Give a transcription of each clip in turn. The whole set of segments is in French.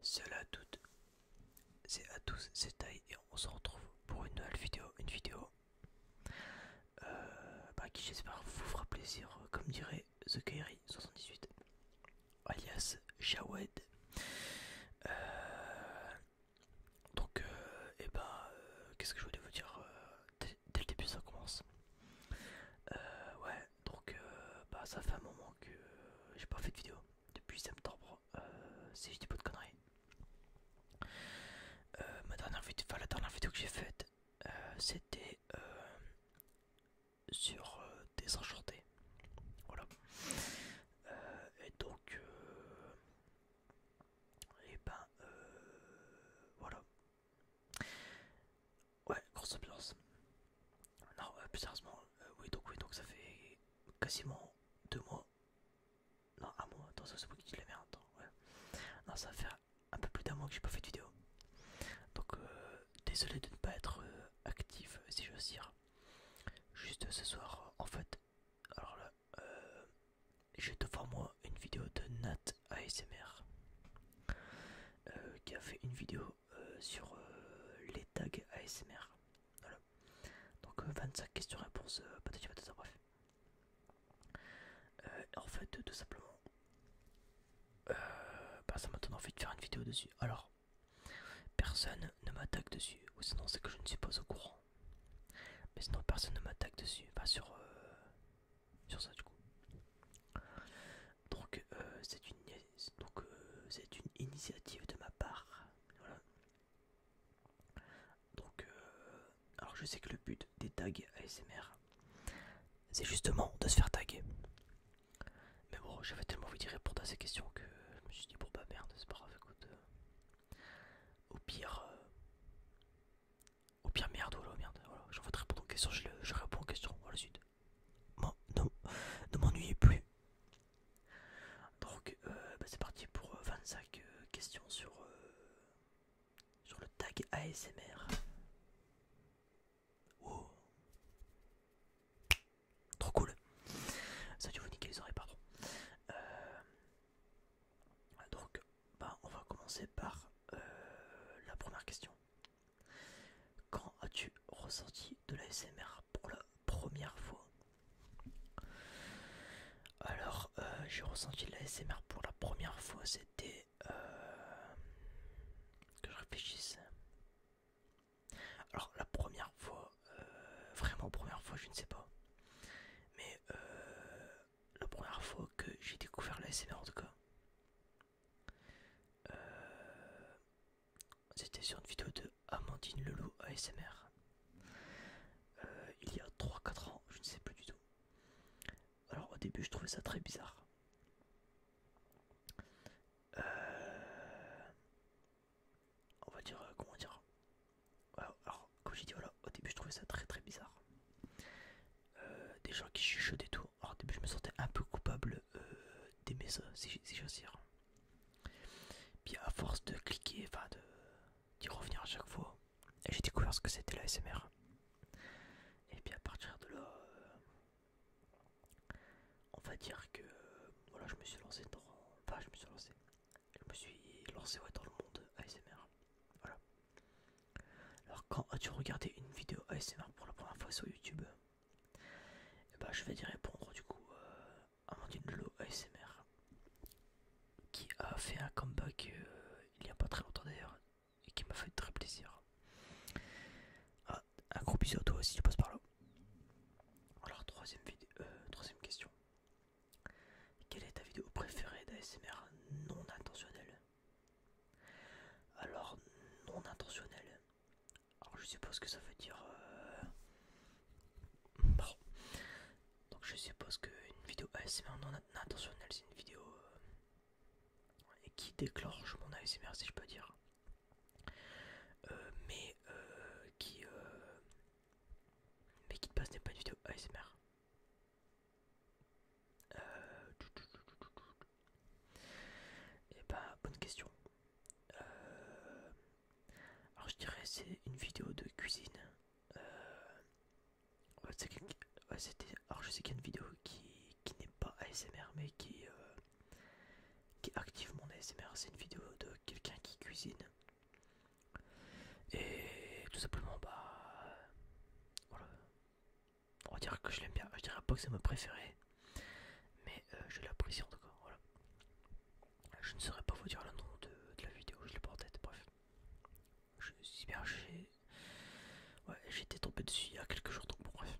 Salut à toutes, c'est à tous, c'est Thaï et on se retrouve pour une nouvelle vidéo, une vidéo euh, bah, qui j'espère vous fera plaisir, euh, comme dirait The Kairi 78 alias Jawed. Euh, donc, et euh, eh ben, euh, qu'est-ce que je voulais vous dire dès le début ça commence. ouais, donc bah, ça fait un moment que j'ai pas fait de vidéo depuis septembre, si je dis pas de conneries. ma dernière vidéo, la dernière vidéo que j'ai faite, c'était sur des enchantés Voilà. Euh, et donc, et euh, eh ben, euh, voilà. Ouais, grosse ambiance. Non, plus sérieusement, oui, donc, oui, donc ça fait quasiment deux mois. Non, un mois, attends, c'est moi qui dis la Non, ça fait un peu plus d'un mois que j'ai pas fait de vidéo. Donc, désolé de ne pas être actif, si je veux dire. Juste ce soir, en fait, alors là, euh, j'ai devant moi une vidéo de Nat ASMR euh, qui a fait une vidéo euh, sur les tags ASMR. Donc 25 questions-réponses, vas patati patata, bref. en fait, tout simplement, bah, ça m'a donné envie de faire une vidéo dessus. Alors, Personne ne m'attaque dessus, ou sinon c'est que je ne suis pas au courant. Mais sinon personne ne m'attaque dessus, enfin, sur, euh, sur ça du coup. Donc euh, euh, c'est une, initiative de ma part. Donc, alors je sais que le but des tags ASMR, c'est justement de se faire taguer. Mais bon, j'avais tellement envie d'y répondre à ces questions que je me suis dit, bon bah merde, c'est pas grave, écoute. Euh, au pire, euh, au pire, merde, voilà, merde, voilà, j'ai envie de répondre aux questions, je, réponds aux questions, voilà, suite. Bon, non, ne m'ennuyez plus. Donc, euh, bah, c'est parti pour 25 questions sur, sur le tag ASMR. Oh. Trop cool. Ça tu veux niquer les oreilles, pardon. Euh, donc, bah, on va commencer par euh, la première question. Quand as-tu ressenti de la SMR pour la première fois Alors, euh, j'ai ressenti de la SMR pour la première fois, c'était... que je réfléchisse. Alors la première fois, euh, vraiment première fois, je ne sais pas. Mais euh, la première fois que j'ai découvert la en tout cas, euh, c'était sur une vidéo de Amandine Leloup ASMR. il y a 3-4 ans, je ne sais plus du tout. Alors au début je trouvais ça très bizarre. Euh, on va dire, euh, comment dire, euh, alors, comme j'ai dit, voilà, au début je trouvais ça très très bizarre. Euh, des gens qui chuchotent et tout, alors au début je me sentais un peu coupable d'aimer ça, si dire. Puis à force de cliquer, enfin d'y revenir à chaque fois, j'ai découvert ce que c'était l'ASMR. Et puis à partir de là, on va dire que euh, voilà, je me suis lancé dans. je me suis lancé. Je me suis lancé dans le monde ASMR. Voilà. Alors, quand as-tu regardé une vidéo ASMR pour la première fois sur YouTube Et eh bah, ben, je vais dire répondre du coup à euh, Amandine Lolo ASMR qui a fait un comeback euh, il n'y a pas très longtemps d'ailleurs et qui m'a fait très plaisir. Ah, un gros bisou à toi aussi, tu passes par là. Alors troisième, vidéo, euh, troisième question. Quelle est ta vidéo préférée d'ASMR non intentionnelle Alors non intentionnelle. Alors je suppose que ça veut dire... Bon. Euh, Donc je suppose qu'une vidéo ASMR non intentionnelle c'est une vidéo... Euh, qui déclenche mon ASMR si je peux dire. Euh, mais euh, qui euh, mais qui passe pas une vidéo ASMR et bah bonne question alors je dirais c'est une vidéo de cuisine alors je sais qu'il y a une vidéo qui, n'est pas ASMR mais qui, qui active mon ASMR, c'est une vidéo de quelqu'un qui cuisine. Et tout simplement, bah voilà. On va dire que je l'aime bien. Je dirais pas que c'est ma préférée, mais euh, je l'apprécie en tout Voilà. Je ne saurais pas vous dire le nom de, la vidéo, je l'ai pas en tête. Bref, je suis J'ai ouais, été tombé dessus il y a quelques jours donc bon, bref.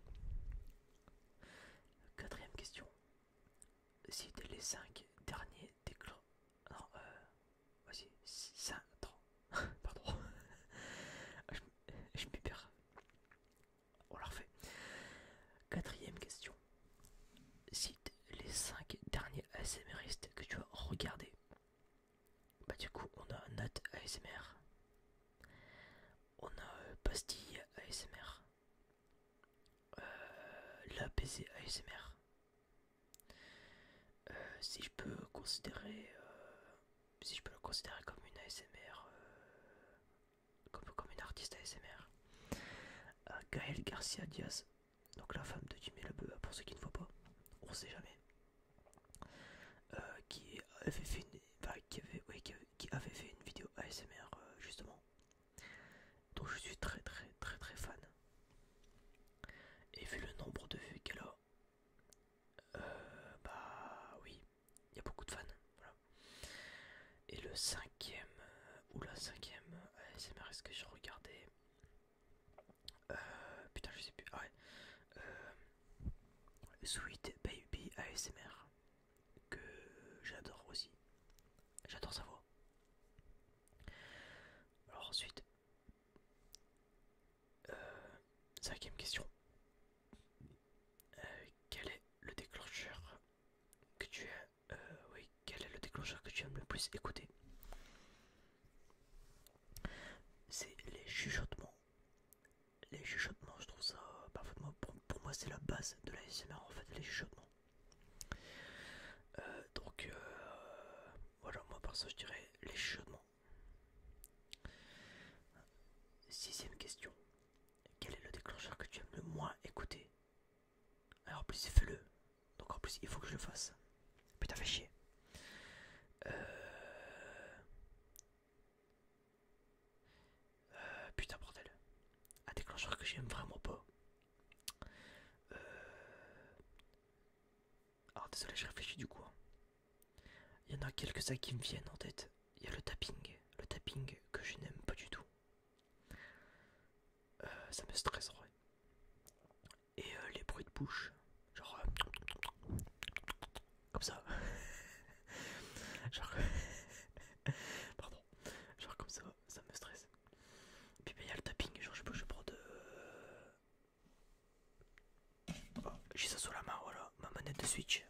Quatrième question cite les 5 derniers déclo... Non, euh... Vas-y, 5... Pardon. je, me perds. On la refait. Quatrième question. Cite les 5 derniers ASMRistes que tu as regardés. Bah du coup, on a Nat ASMR. On a Pastille euh, ASMR. Euh, la l'APC ASMR. Euh, si je peux considérer, euh, si je le considérer comme une ASMR, comme, une artiste ASMR. Gaël Garcia Diaz, donc la femme de Jimmy Lebeu, pour ceux qui ne voient pas, on sait jamais, qui avait fait une, qui avait, fait une vidéo ASMR justement. Donc je suis très très très très fan. Et vu le nombre de vues qu'elle a, euh, bah oui, il y a beaucoup de fans. Voilà. Et le cinquième, euh, ou la cinquième ASMR, est-ce que j'ai regardé euh, Putain, je sais plus. Ah ouais. Sweet Baby ASMR que j'adore aussi. J'adore sa voix. Alors ensuite, euh, cinquième question. Euh, quel est le déclencheur que tu euh, Oui, quel est le déclencheur que tu aimes le plus écouter C'est les chuchotements. Les chuchotements, je trouve ça parfaitement. Pour, moi, c'est la base de la SMR en fait, les chuchotements. Euh, donc euh, voilà, moi par ça je dirais les Sixième question. Quel est le déclencheur que tu aimes le moins écouter Alors en plus fais-le. Donc en plus il faut que je le fasse. Putain fait chier. Euh, putain bordel. Un déclencheur que j'aime vraiment pas. Euh... Alors désolé, je réfléchis du coup. Hein. Il y en a quelques-uns qui me viennent en tête. Il y a le tapping, le tapping que je n'aime pas du tout. Euh, ça me stresserait. Et euh, les bruits de bouche, genre euh, comme ça. genre pardon. Genre comme ça, ça me stresse. puis bah, il y a le tapping, genre je pas je prends de... J'ai ça sous la main, voilà, ma manette de Switch,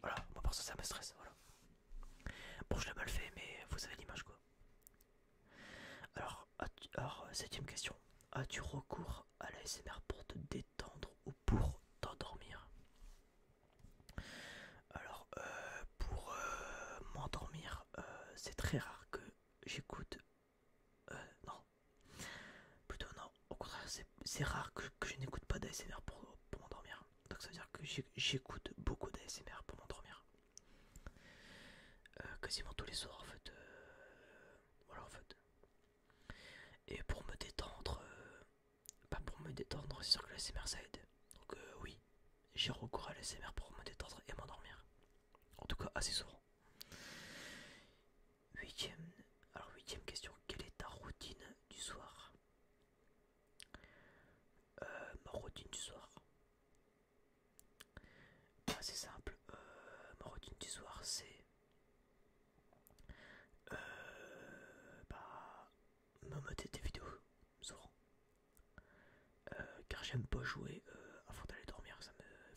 voilà. moi par ça me stresse, voilà. Bon je l'ai mal fait mais vous avez l'image quoi. Alors, septième question. As-tu recours à la pour te détendre ou pour t'endormir Alors, euh, pour euh, m'endormir, euh, c'est très rare que j'écoute... non. Plutôt non. Au contraire, c'est rare que, je n'écoute pas d'ASMR pour, m'endormir. Donc ça veut dire que j'écoute beaucoup d'ASMR pour m'endormir. quasiment tous les soirs en fait. voilà en fait. Et pour me détendre, pas pour me détendre, c'est sûr que l'ASMR ça aide. Donc euh, oui, j'ai recours à l'ASMR pour me détendre et m'endormir. En tout cas, assez souvent. Huitième, alors huitième question, quelle est ta routine du soir euh, Ma routine du soir assez bah, C'est simple, euh, ma routine du soir c'est euh, bah, me des vidéos souvent, euh, car j'aime pas jouer euh, avant d'aller dormir, ça me,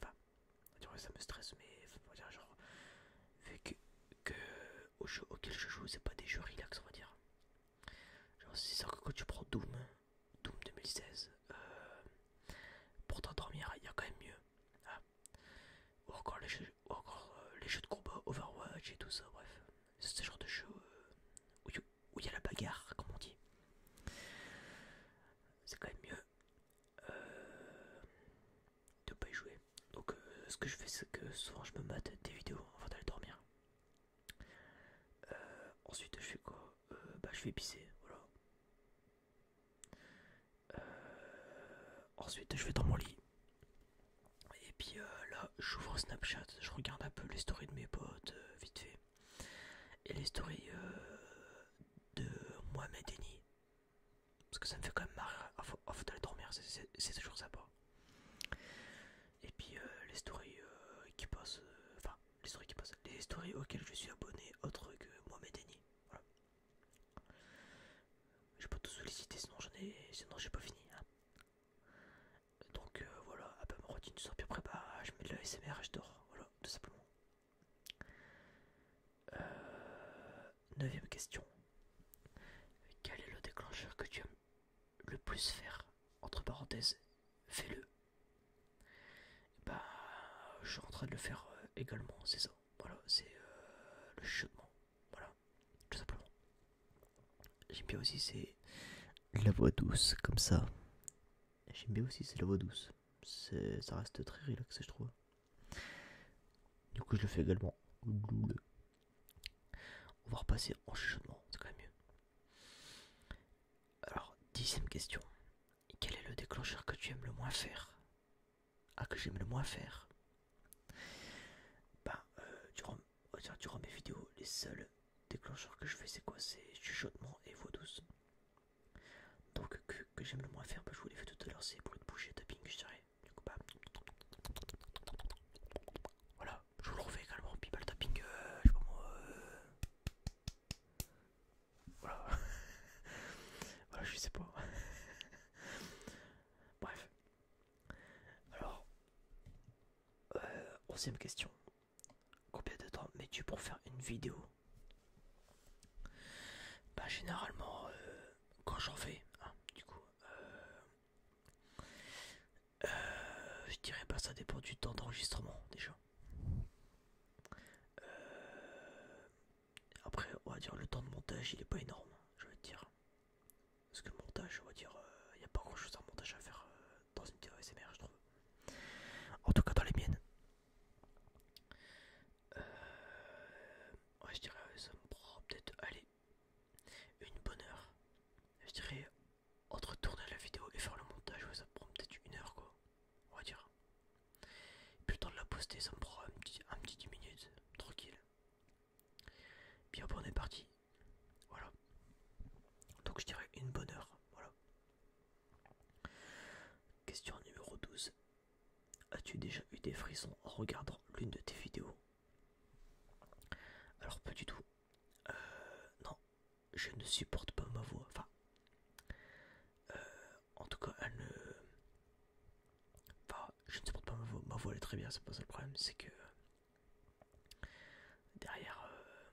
enfin, ça me stresse, mais genre, vu que, je joue, c'est pas des jeux relax, on va dire. Genre, c'est sûr que quand tu prends Doom, Doom 2016, euh, pour t'endormir, il y a quand même mieux. Ah, ou encore euh, les jeux, de combat Overwatch et tout ça, bref, c'est ce genre de jeu euh, où il y a la bagarre, comme on dit. C'est quand même mieux de euh, de pas y jouer. Donc ce que je fais, c'est que souvent je me mate des vidéos avant d'aller dormir. ensuite, je fais quoi Bah, je vais pisser, voilà. Euh, ensuite, je vais dans mon lit. Et puis euh, là, j'ouvre Snapchat, je regarde un peu les stories de mes potes, euh, vite fait. Et les stories de Mohamed Denis. Parce que ça me fait quand même marre de les dormir, c'est toujours sympa. Et puis les stories qui passent, enfin, les stories qui passent, les stories auxquelles je suis abonné, autre que Mohamed Denis. Voilà. Je peux pas tout solliciter, sinon j'en ai, sinon j'ai pas fini. Hein. Donc euh, voilà, à peu ma routine bah, je mets de la et je dors, voilà, tout simplement. Euh, neuvième question. Quel est le déclencheur que tu aimes le plus faire Entre parenthèses, fais-le. Bah, je suis en train de le faire euh, également, c'est ça. Voilà, c'est euh, le chuchotement. Voilà, tout simplement. J'aime bien aussi, c'est la voix douce, comme ça. J'aime bien aussi, c'est la voix douce. Ça reste très relaxé, je trouve. Du coup, je le fais également. On va repasser en chuchotement, c'est quand même mieux. Alors, dixième question. Quel est le déclencheur que tu aimes le moins faire ah, que j'aime le moins faire Bah, euh, durant, mes vidéos, les seuls déclencheurs que je fais, c'est quoi C'est chuchotement et voix douce. Donc, que, j'aime le moins faire, bah, je vous l'ai fait tout à l'heure, c'est pour le tapping, je dirais. Du coup, Voilà, je vous le refais également. Puis, le tapping, euh, euh. Voilà. voilà, je sais pas. Bref, alors, euh, onzième question. Combien de temps mets-tu pour faire une vidéo Bah généralement, euh, quand j'en fais, hein, du coup, euh, je dirais pas ça dépend du temps d'enregistrement déjà. Après, on va dire le temps de montage, il est pas énorme, je vais te dire. Parce que montage, on va dire, il euh, n'y a pas grand chose à montage à faire euh, dans une vidéo SMR je trouve. En tout cas, dans les miennes. Euh, ouais, je dirais, ça me prend peut-être, allez, une bonne heure. Je dirais, entre tourner la vidéo et faire le montage, ça me prend peut-être une heure, quoi. On va dire. puis le temps de la poster, ça me prend un petit, un petit 10 minutes, tranquille. Bien bon, on est parti. Voilà. Donc je dirais une bonne heure. Voilà. Question numéro 12. As-tu déjà eu des frissons en regardant l'une de tes vidéos Alors pas du tout. Euh, non, je ne supporte pas ma voix. Enfin, euh, en tout cas, elle ne je ne supporte pas ma voix, elle est très bien, c'est pas ça le problème, c'est que euh, derrière, euh,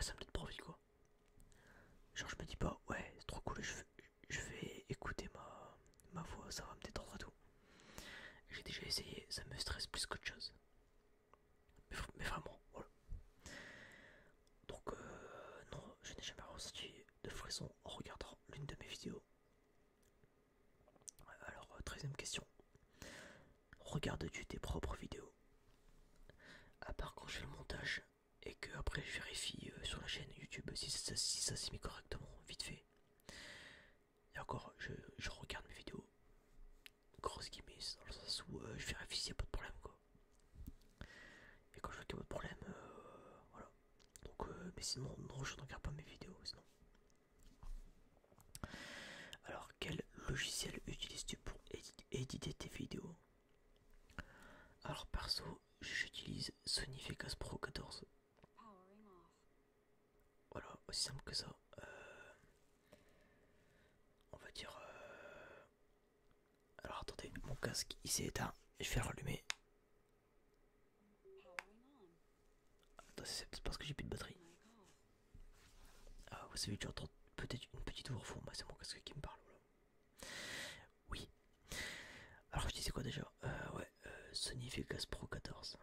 ça me donne pas quoi. Genre je me dis pas, ouais, c'est trop cool, je vais, écouter ma, ma voix, ça va me détendre à tout. J'ai déjà essayé, ça me stresse plus qu'autre chose. Mais, vraiment, voilà. Donc euh, non, je n'ai jamais ressenti de frisson en regardant l'une de mes vidéos. Alors, 13ème euh, question. Regardes-tu tes propres vidéos À part quand je fais le montage et que après je vérifie euh, sur la chaîne YouTube si ça, s'est mis correctement, vite fait. Et encore, je, regarde mes vidéos. Grosse guillemets, dans le sens où euh, je vérifie s'il n'y a pas de problème quoi. Et quand je vois qu'il n'y a pas de problème, voilà. Donc, euh, mais sinon, je ne regarde pas mes vidéos, sinon. Alors, quel logiciel utilises-tu pour éditer tes vidéos Alors, perso, j'utilise Sony Vegas Pro 14. Voilà, aussi simple que ça. Euh, on va dire. Euh, alors attendez, mon casque il s'est éteint. Je vais le rallumer. Attends, c'est parce que j'ai plus de batterie. Ah, vous savez que j'entends peut-être une petite voix au fond. c'est mon casque qui me parle. Oui. Alors, je disais quoi déjà euh, Ouais, euh, Sony Vegas Pro 14.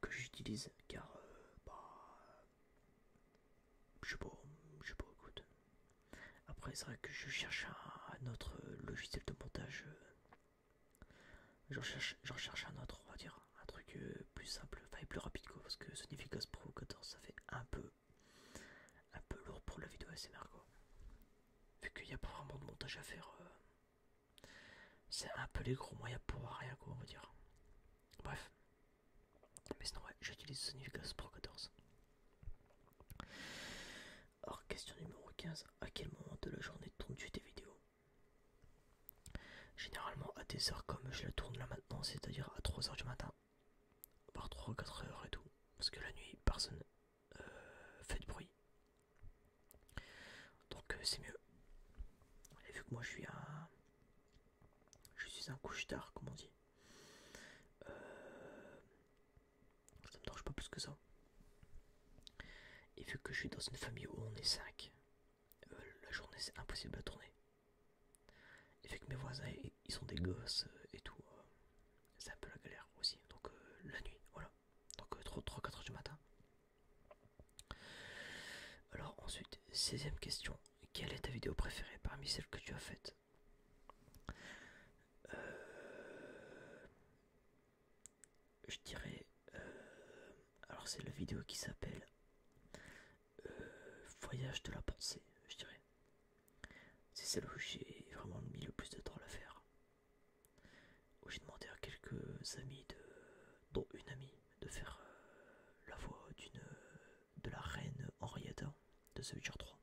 Que, j'utilise car, euh, bah. Je sais pas, je sais pas, écoute. Après, c'est vrai que je cherche un, autre euh, logiciel de montage. Euh. J'en cherche, un autre, on va dire. Un truc euh, plus simple, enfin et plus rapide quoi. Parce que Sony Pro 14, ça fait un peu, un peu lourd pour la vidéo SMR quoi. Vu qu'il n'y a pas vraiment de montage à faire. c'est un peu les gros moyens pour rien quoi on va dire. Bref. Mais sinon ouais j'utilise Sony Pro 14. Alors, question numéro 15. À quel moment de la journée tournes-tu tes vidéos Généralement à des heures comme je la tourne là maintenant, c'est-à-dire à 3h du matin. voire 3 ou 4 heures et tout. Parce que la nuit, personne euh, fait de bruit. Donc euh, c'est mieux. Et vu que moi je suis un... Je suis un couche-tard, comme on dit. Euh, ça me dérange pas plus que ça. Et vu que je suis dans une famille où on est 5, euh, la journée c'est impossible à tourner. Et vu que mes voisins ils sont des gosses euh, et tout, euh, c'est un peu la galère aussi. Donc la nuit, voilà. Donc 3-4 heures du matin. Alors ensuite, 16ème question. Quelle est ta vidéo préférée parmi celles que tu as faites je dirais euh, alors c'est la vidéo qui s'appelle euh, voyage de la pensée je dirais c'est celle où j'ai vraiment mis le plus de temps à la faire où j'ai demandé à quelques amis de dont une amie de faire euh, la voix d'une de la reine Henrietta de The Witcher 3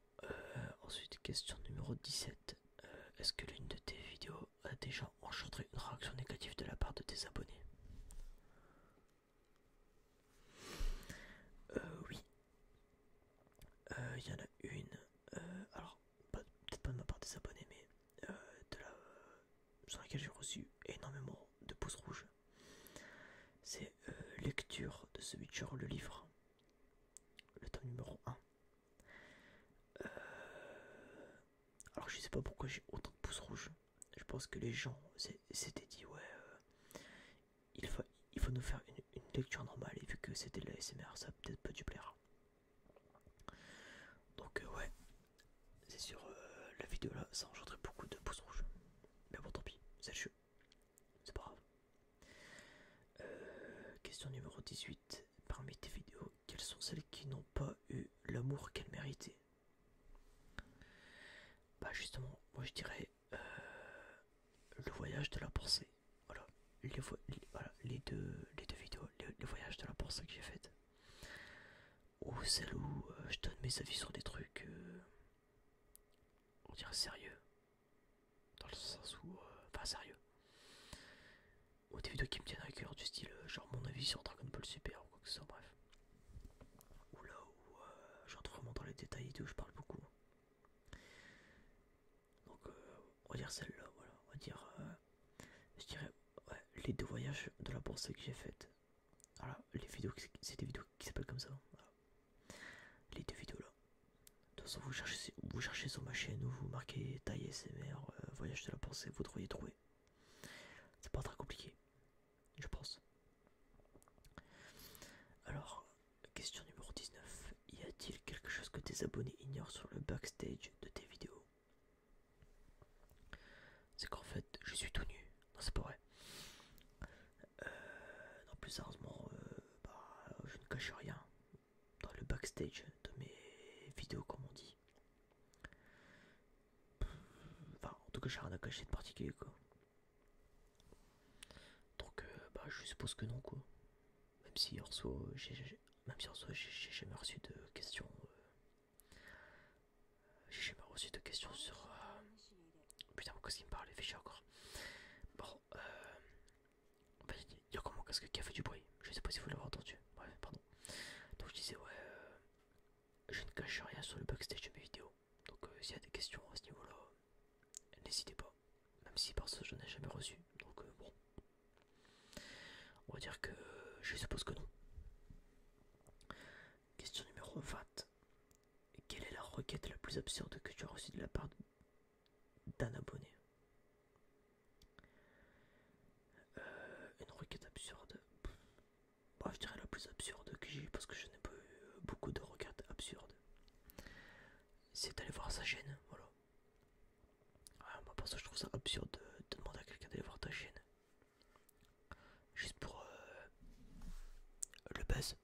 euh, ensuite, question numéro 17. Euh, est-ce que l'une de tes vidéos a déjà engendré une réaction négative de la part de tes abonnés euh, Oui. Il y en a une. alors, peut-être pas de ma part des abonnés, mais de la, sur laquelle j'ai reçu énormément de pouces rouges. C'est lecture de ce Witcher, le livre, le tome numéro 1. Euh, alors je sais pas pourquoi j'ai autant de pouces rouges. Je pense que les gens s'étaient dit ouais, euh, il, faut, nous faire une, lecture normale et vu que c'était de la SMR ça peut-être pas du plaire. Donc euh, ouais, c'est sur la vidéo là, ça engendrait beaucoup de pouces rouges. Mais bon tant pis, c'est C'est pas grave. Euh, question numéro 18. Parmi tes vidéos, quelles sont celles qui n'ont pas eu l'amour qu'elles méritaient Bah justement, moi je dirais euh, le voyage de la pensée. Voilà, les, deux, vidéos, le, voyage de la pensée que j'ai faite. Ou celle où euh, je donne mes avis sur des trucs, on dirait sérieux, dans le sens où. Euh, enfin, sérieux. Ou des vidéos qui me tiennent à cœur, du style euh, genre mon avis sur Dragon Ball Super ou quoi que ce soit, bref. Ou là où j'entre euh, vraiment dans les détails et tout, je parle beaucoup. Hein. Donc, on va dire celle-là, voilà. On va dire. je dirais les deux voyages de la bourse que j'ai faite. Voilà, les vidéos, c'est des vidéos qui s'appellent comme ça. Hein, les deux vidéos là. De toute façon, vous cherchez, vous cherchez sur ma chaîne ou vous marquez taille SMR, euh, voyage de la pensée, vous devriez trouver. C'est pas très compliqué, je pense. Alors, question numéro 19. Y a-t-il quelque chose que tes abonnés ignorent sur le backstage de tes vidéos C'est qu'en fait, je suis tout nu. Non, c'est pas vrai. Euh, non, plus sérieusement, euh, bah, je ne cache rien dans le backstage de mes vidéos, comme on dit. Enfin, en tout cas, j'ai rien à cacher de particulier, quoi. Donc, euh, bah, je suppose que non, quoi. Même si en soit j'ai jamais reçu de questions. Euh, j'ai jamais reçu de questions sur. Euh, putain, pourquoi ce qu'il me parle chier encore. Bon, il y a comment quest casque qui a fait du bruit, je sais pas si vous l'avez entendu, pardon. Donc je disais, ouais, euh, je ne cache rien sur le backstage de mes vidéos, donc euh, s'il y a des questions à ce niveau-là, n'hésitez pas, même si par ce je n'en ai jamais reçu, donc euh, bon. On va dire que je suppose que non. Question numéro 20. Quelle est la requête la plus absurde que tu as reçue de la part de d'un abonné. Euh, une requête absurde. bref bah, je dirais la plus absurde que j'ai parce que je n'ai pas eu euh, beaucoup de requêtes absurdes. C'est d'aller voir sa chaîne, voilà. Ah, parce que je trouve ça absurde de, demander à quelqu'un d'aller voir ta chaîne. Juste pour euh, le buzz.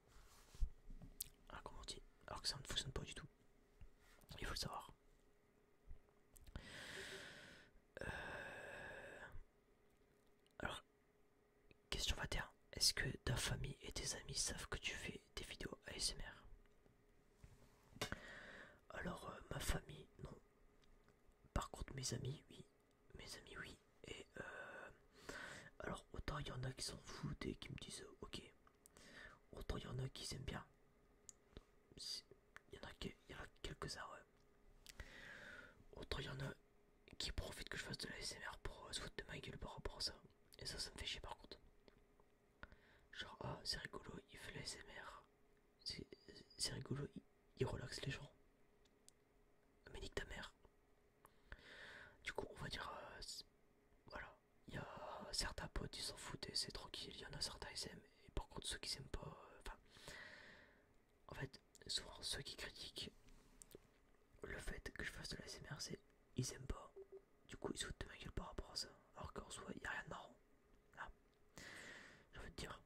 Ah, comment dit Alors que ça ne fonctionne pas du tout. Il faut le savoir. Euh, alors, question 21. Est-ce que ta famille et tes amis savent que tu fais des vidéos ASMR Alors, euh, ma famille, non. Par contre, mes amis, oui. Mes amis, oui. Et euh, alors, autant il y en a qui s'en foutent et qui me disent, ok, Autant il y en a qui s'aiment bien. Il y en a, quelques-uns, ouais. Autant il y en a qui profitent que je fasse de la SMR pour euh, se foutre de ma gueule par rapport à ça. Et ça, ça me fait chier par contre. Genre, ah, c'est rigolo, il fait la SMR. C'est rigolo, il, relaxe les gens. Mais nique ta mère. Du coup, on va dire. Euh, voilà il y a certains potes ils s'en foutent et c'est tranquille, il y en a certains ils aiment et par contre ceux qui s'aiment pas, euh, enfin en fait souvent ceux qui critiquent le fait que je fasse de la c'est ils aiment pas, du coup ils se foutent de ma gueule par rapport à ça, alors qu'en soi il y a rien de marrant, ah. j'ai envie dire,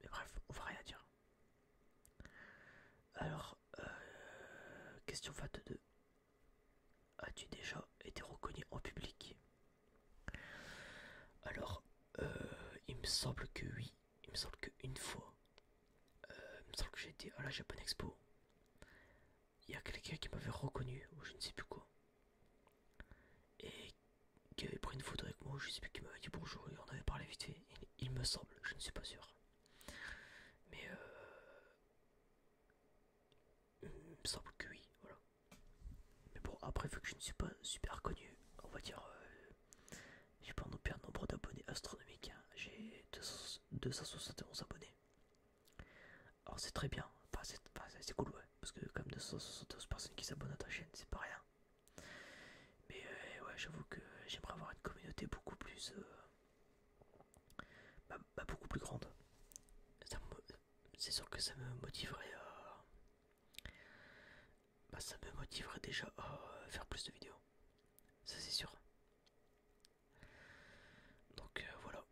mais bref on va rien dire. Alors euh, question 22, as-tu déjà été reconnu en public Alors, euh, il me semble que oui, il me semble qu'une fois, euh, il me semble que été à la Japan Expo. Il y a quelqu'un qui m'avait reconnu, ou je ne sais plus quoi, et qui avait pris une photo avec moi, je ne sais plus qui m'avait dit bonjour, et on avait parlé vite fait, il, me semble, je ne suis pas sûr. Mais euh, il me semble que oui, voilà. Mais bon, après, vu que je ne suis pas super connu, on va dire, euh, j'ai pas un nombre d'abonnés astronomiques, hein. j'ai 271 abonnés. Alors c'est très bien, enfin, c'est cool, ouais, parce que comme 272 personnes qui s'abonnent à ta chaîne, c'est pas rien. Mais euh, ouais, j'avoue que j'aimerais avoir une communauté beaucoup plus... Euh, beaucoup plus grande. C'est sûr que ça me motiverait bah, ça me motiverait déjà à faire plus de vidéos. Ça c'est sûr. Donc euh, voilà.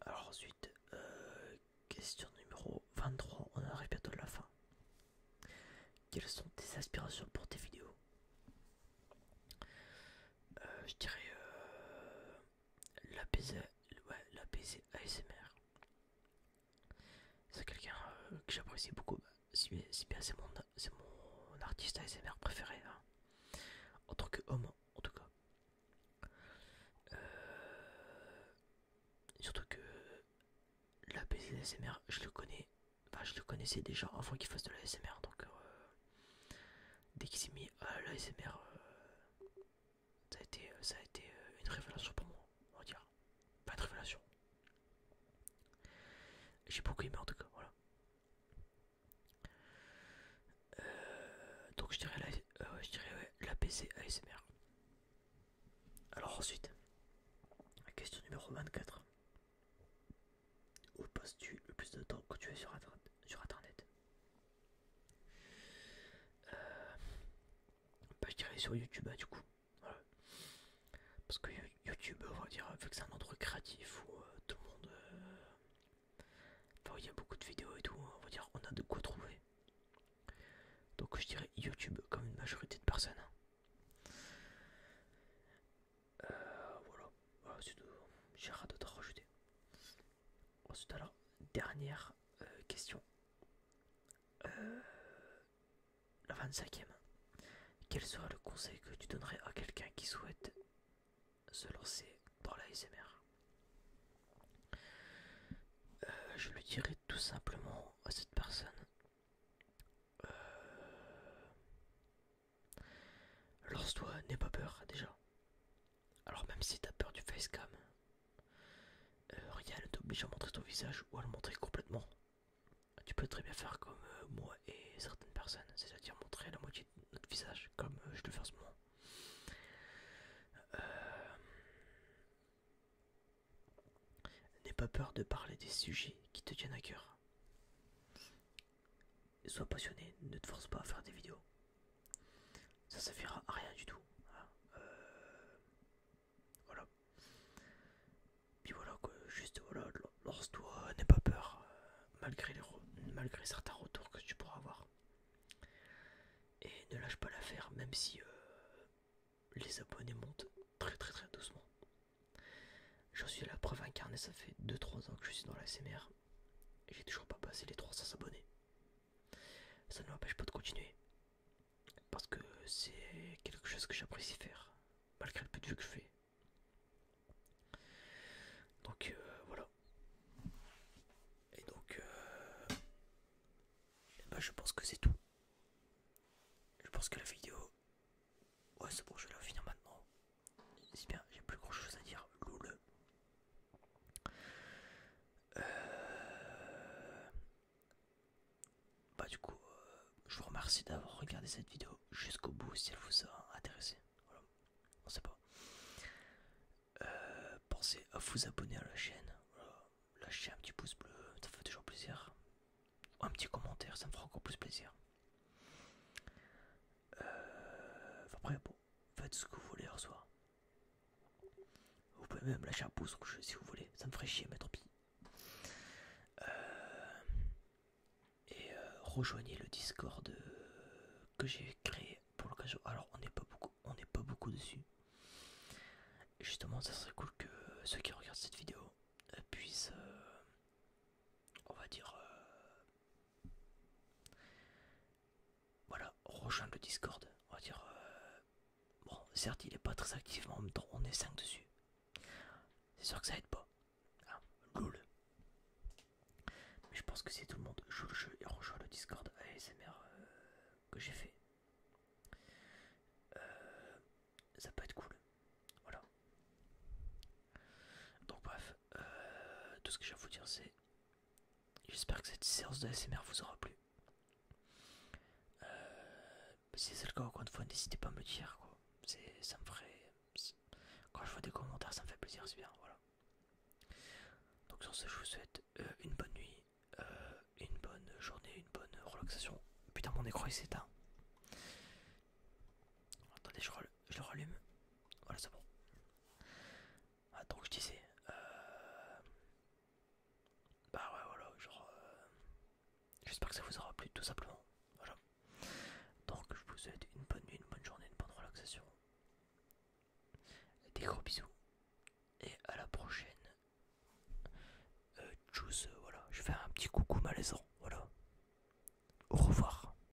Alors ensuite, euh, question numéro 23, on arrive bientôt à la fin. Quelles sont tes aspirations pour tes vidéos euh, je dirais euh, l'APC ASMR. C'est quelqu'un euh, que j'apprécie beaucoup. Si, bien c'est mon, artiste ASMR préféré. Hein. En tant que homme en tout cas. surtout que la ASMR, je le connais. Enfin, je le connaissais déjà avant qu'il fasse de l'ASMR. donc Dès qu'il s'est mis à ah, l'ASMR, euh, ça a été, euh, ça euh, une révélation pour moi, on va dire. Pas de révélation. J'ai beaucoup aimé en tout cas, voilà. donc je dirais l'APC je ASMR. Alors ensuite, question numéro 24. Où passes-tu le plus de temps quand tu es sur, sur internet euh, bah, je dirais sur YouTube, hein, du coup, Parce que YouTube, on va dire, vu que c'est un endroit créatif où euh, tout le monde. Euh, il y a beaucoup de vidéos et tout, hein, on va dire, on a de quoi trouver. Donc, je dirais YouTube comme une majorité de personnes. Hein. Euh, voilà, ah, c'est J'ai rien d'autre rajouter. Ensuite, alors, dernière euh, question. Euh, la 25e. Quel serait le conseil que tu donnerais à quelqu'un qui souhaite se lancer dans l'ASMR SMR Je lui dirais tout simplement à cette personne Lance-toi, n'aie pas peur déjà. Alors même si t'as peur du facecam, euh, rien ne t'oblige à montrer ton visage ou à le montrer complètement. Tu peux très bien faire comme euh, moi et certaines personnes, c'est-à-dire montrer la moitié de notre visage comme euh, je le fais en ce moment. N'aie pas peur de parler des sujets qui te tiennent à cœur. Sois passionné, ne te force pas à faire des vidéos. Ça servira à rien du tout. Hein. Euh, voilà. Puis voilà que juste voilà, lance-toi, n'aie pas peur, euh, malgré, certains retours que tu pourras avoir. Et ne lâche pas l'affaire, même si euh, les abonnés montent très très très doucement. J'en suis à la preuve incarnée, ça fait 2-3 ans que je suis dans la et J'ai toujours pas passé les 300 abonnés. Ça ne m'empêche pas de continuer. Parce que c'est quelque chose que j'apprécie faire, malgré le peu de vues que je fais. Donc euh, voilà. Et donc, euh, eh ben, je pense que c'est tout. Je pense que la vidéo... Ouais c'est bon, je vais la finir maintenant si bien, j'ai plus grand chose à dire. loulou euh, Bah du coup, euh, je vous remercie d'avoir regardé cette vidéo jusqu'au bout si elle vous a intéressé. On sait pas. Euh, pensez à vous abonner à la chaîne. lâcher un petit pouce bleu, ça fait toujours plaisir. Un petit commentaire, ça me fera encore plus plaisir après, euh, bon, faites ce que vous voulez heure soir. Vous pouvez même lâcher un pouce si vous voulez, ça me ferait chier, mais tant pis. Euh, et euh, rejoignez le Discord que j'ai créé pour l'occasion. Alors, on n'est pas beaucoup, on n'est pas beaucoup dessus. Justement, ça serait cool que ceux qui regardent cette vidéo puissent, on va dire, voilà, rejoindre le Discord. On va dire. Euh, bon, certes, il est pas très activement, on est 5 dessus. C'est sûr que ça aide pas. Cool. Ah, mais je pense que si tout le monde joue le jeu et rejoint le Discord ASMR euh, que j'ai fait, euh, ça peut être cool. Voilà. Donc bref, euh, tout ce que j'ai à vous dire c'est... J'espère que cette séance de SMR vous aura plu. Euh, si c'est le cas, encore une fois, n'hésitez pas à me dire. Quoi. Ça me ferait... Quand je vois des commentaires, ça me fait plaisir, c'est bien. Voilà. Donc sur ce, je vous souhaite euh, une bonne nuit, une bonne journée, une bonne relaxation. Putain, mon écran il s'éteint. Attendez, je, je le rallume. Voilà, c'est bon. Ah, donc je disais, euh, bah ouais, voilà, genre, euh, j'espère que ça vous aura plu tout simplement. Voilà. Donc je vous souhaite une bonne nuit, une bonne journée, une bonne relaxation. Des gros bisous et à la prochaine. Euh, voilà, je vais faire un petit coucou malaisant, voilà. Au revoir.